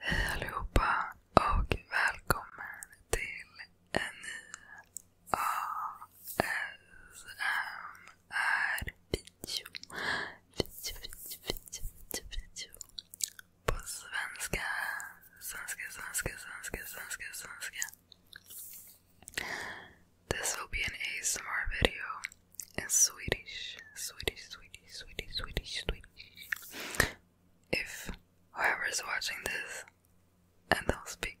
Hej allihopa och välkommen till en ny ASMR-video. Video, video, video, video. på svenska. Svenska, svenska, svenska, svenska, svenska. This will be an ASMR video in Swedish. Swedish, Swedish, Swedish, Swedish, Swedish. If whoever is watching this and they'll speak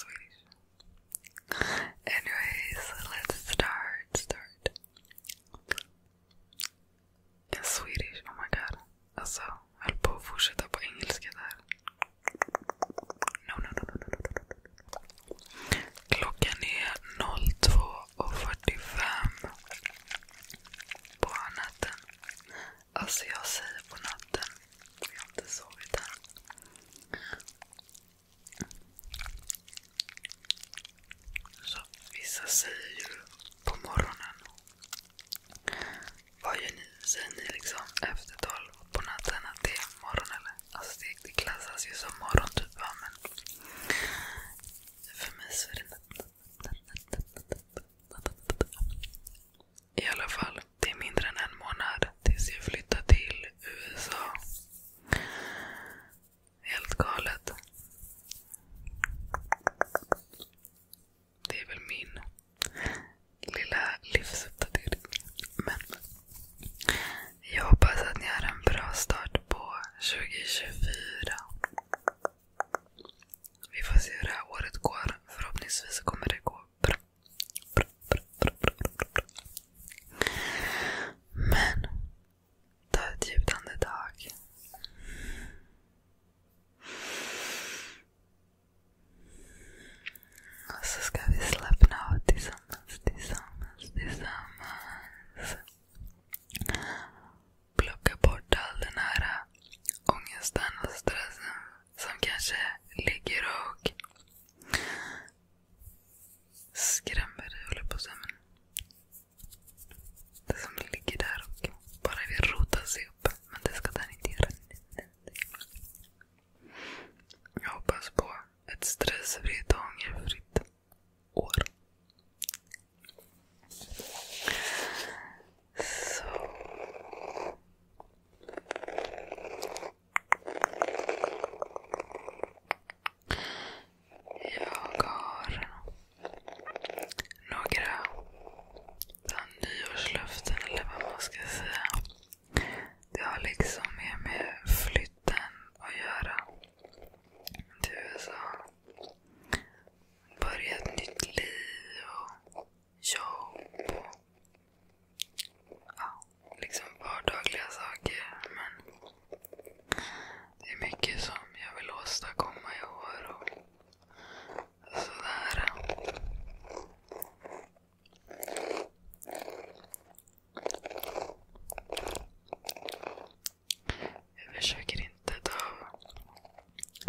Swedish. Anyways, let's start. Start. Swedish, oh my god. Alltså, höll på att fortsätta på engelska där. Klockan är 02.45 på natten. Alltså jag säger på natten. Jag har inte sovit än. Så, vissa säger ju på morgonen Vad gör ni? Säger ni liksom efter tolv på natten att det är morgon eller? Alltså det, det klassas ju som morgon typ va? men för mig så är det natt. I alla fall, det är mindre än en månad tills jag flyttar till USA. Helt galet. Det är väl min lilla livsuppdatering. Men jag hoppas att ni har en bra start på 2024. Vi får se hur det här året går. Förhoppningsvis kommer det gå bra. bra, bra, bra, bra, bra, bra. Men ta ett djupt andetag. Och så ska vi slappna av tillsammans, tillsammans, tillsammans. Plocka bort all den här ångesten och stressen som kanske ligger och skrämmer dig, håller på att Det som ligger där och bara vill rota sig upp men det ska den inte göra. Jag hoppas på ett stressfritt och ångerfritt år. Så. Jag har några nyårslöften eller vad man ska säga. Det har liksom mer med flytten att göra. Till alltså, USA. Börja ett nytt liv och jobb. Och, ja, liksom vardagliga saker. Men det är mycket som jag vill åstadkomma i år. Och Sådär. Jag försöker inte ta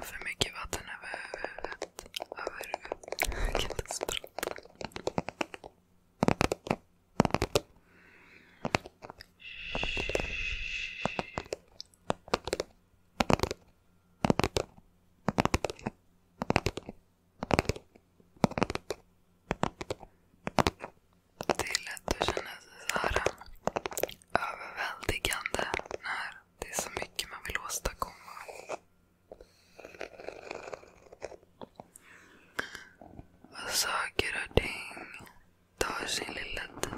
för mycket vatten över huvudet. Över huvudet. Jag kan inte prata. Shh. Det är lätt att känna sig så här äh, överväldigande när det är så mycket man vill åstadkomma. Och saker och ting tar sin lilla tid.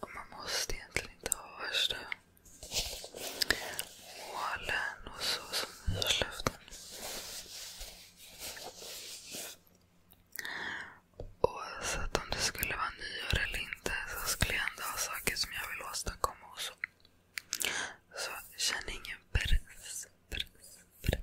Och man måste egentligen inte ha värsta målen och så som nyårslöften. Oavsett om det skulle vara nyår eller inte så skulle jag ändå ha saker som jag vill åstadkomma och så. Så känn ingen press, press, press.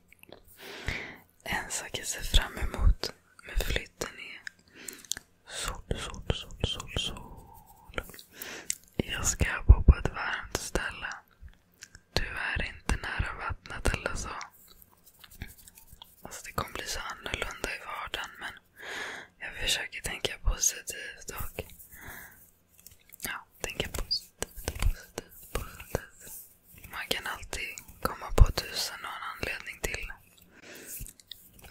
En sak jag ser fram emot med flytten är sol, sol, sol, sol, sol. Jag ska bo på ett varmt ställe. Tyvärr inte nära vattnet eller så. Alltså det kommer bli så annorlunda i vardagen men jag försöker tänka positivt och ja, tänka positivt, positivt, positivt. Man kan alltid komma på tusen och en anledning till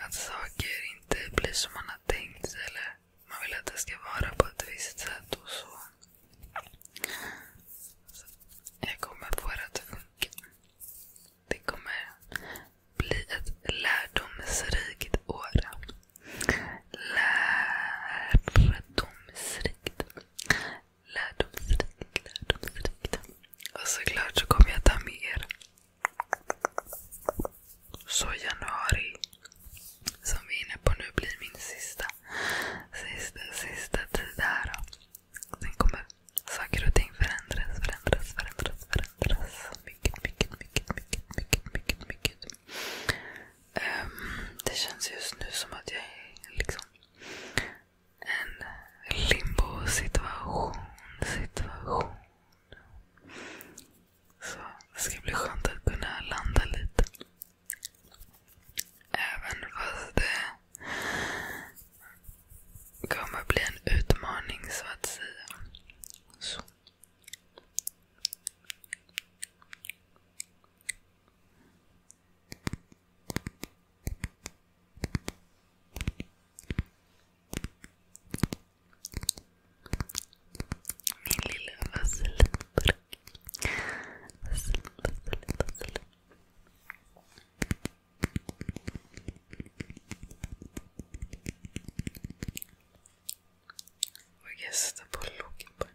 att saker inte blir som man har tänkt eller man vill att det ska vara på ett visst sätt och så. så jag kommer få det att funka. Det kommer bli ett lärdomsrikt år. Lärdomsrikt lärdomsrikt, lärdomsrikt. Och såklart så kommer jag ta med er så januari som vi är inne på nu blir min sista, sista, sista tid här. Sen kommer saker och ting förändras, förändras, förändras, förändras. Mycket, mycket, mycket, mycket, mycket, mycket. Ehm, det känns just nu som att jag är liksom en limbo-situation. Situation. Så det ska bli skönt att kunna landa lite. Även fast det kommer bli en utmaning så att säga. Så. Min lilla vasselburk. Vassel, vassel, vassel. Och jag sätter på locken på den.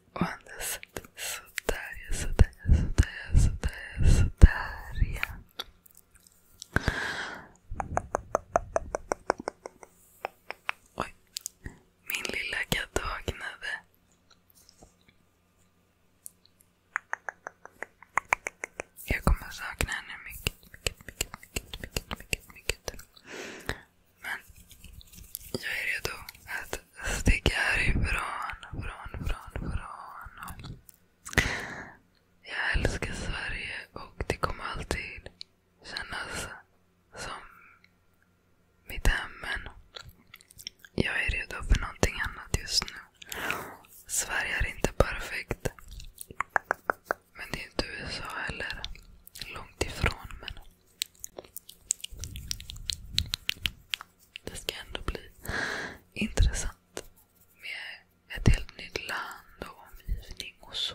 Och andas sådär sådär sådär sådär sådär ja. Oj. Min lilla katt vaknade. Jag kommer sakna henne mycket, mycket, mycket, mycket, mycket, mycket, mycket. Men jag är redo att att sticka härifrån. Från, från, från. Jag älskar Sverige och det kommer alltid kännas som mitt hem. Men jag är redo för någonting annat just nu. Sverige är inte perfekt. Men det är inte USA heller. Långt ifrån. Men det ska ändå bli intressant med ett helt nytt land och omgivning och så.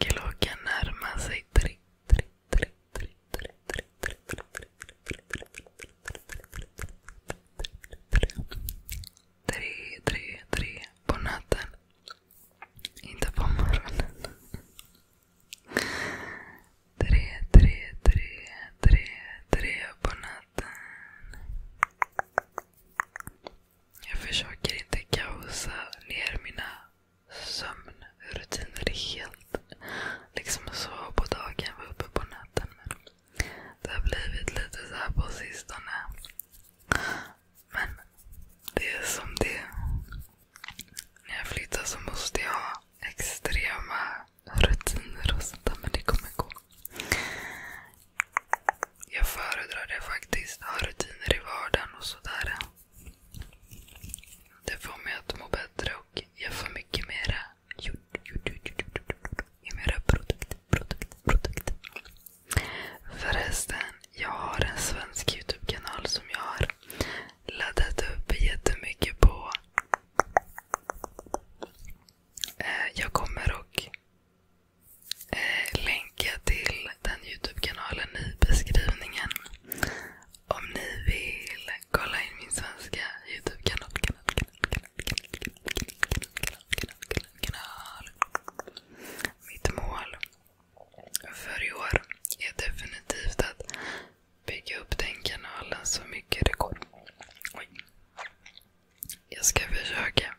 Klockan närmar sig tre. Tre, tre, tre på natten. Inte på morgonen. Tre, tre, tre, tre, tre på natten. Jag försöker inte kaosa ner mina sömnrutiner helt. Liksom sova på dagen, vara uppe på natten. Men det har blivit lite så här på sistone. Men det är som det När jag flyttar så måste jag ha extrema rutiner och sånt där. Men det kommer gå. Jag föredrar det faktiskt. Ha rutiner i vardagen och sådär. Det får mig att må bättre och jag får mycket mera gjort, gjort, gjort, gjort, mera produkt, produkt, produkt. Förresten, jag har en svensk Youtube-kanal som jag har laddat upp jättemycket på. Eh, jag kommer och Eh, länka till den youtube i beskrivningen. Om ni vill kolla in min svenska youtube Mitt mål för i år är definitivt att bygga upp den kanalen så mycket det går. Jag ska försöka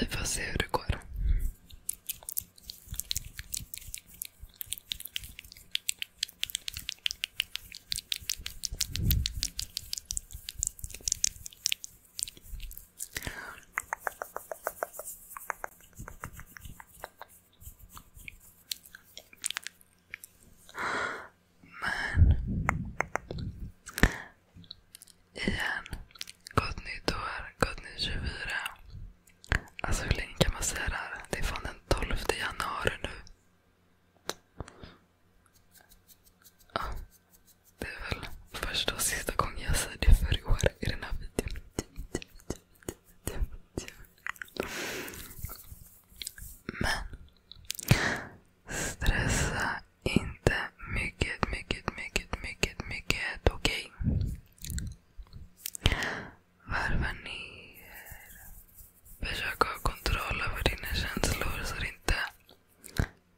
vi får se hur det går. Men Igen. Gott nytt år. Gott nytt 24. Alltså hur länge kan man säga det här? Det är fan den 12 januari nu. Ja, det är väl första och sista gången jag säger det för i år i den här videon. Men stressa inte mycket, mycket, mycket, mycket, mycket okej. Varva ner. Försök ha kontroll över dina känslor så det inte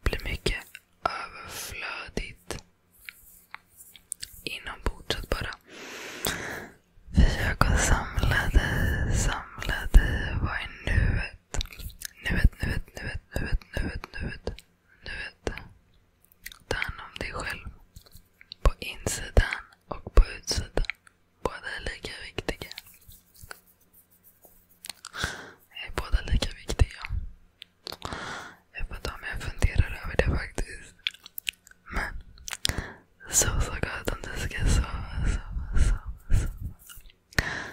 blir mycket överflödigt. Inombords bara försök att samla dig, samla dig. Vad är nuet? Nuet, nuet, nuet, nuet, nuet, nuet du vet, ta hand om dig själv. På insidan och på utsidan. Båda är lika viktiga. Är båda lika viktiga? Jag vet inte om jag funderar över det faktiskt. Men sova så gott om du ska sova, sova, sova. sova.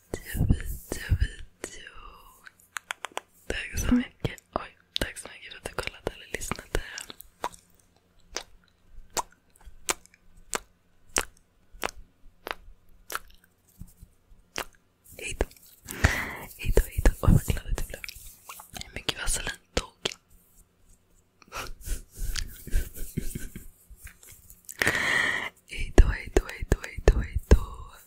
video, video, video. Tack så mycket. Oj, tack så mycket för att du kollat eller lyssnat. Hej då. Hej Oj, vad glad att blev. Hur mycket vaselin tog? Hej då, hej då, hej då, hej då, hej då.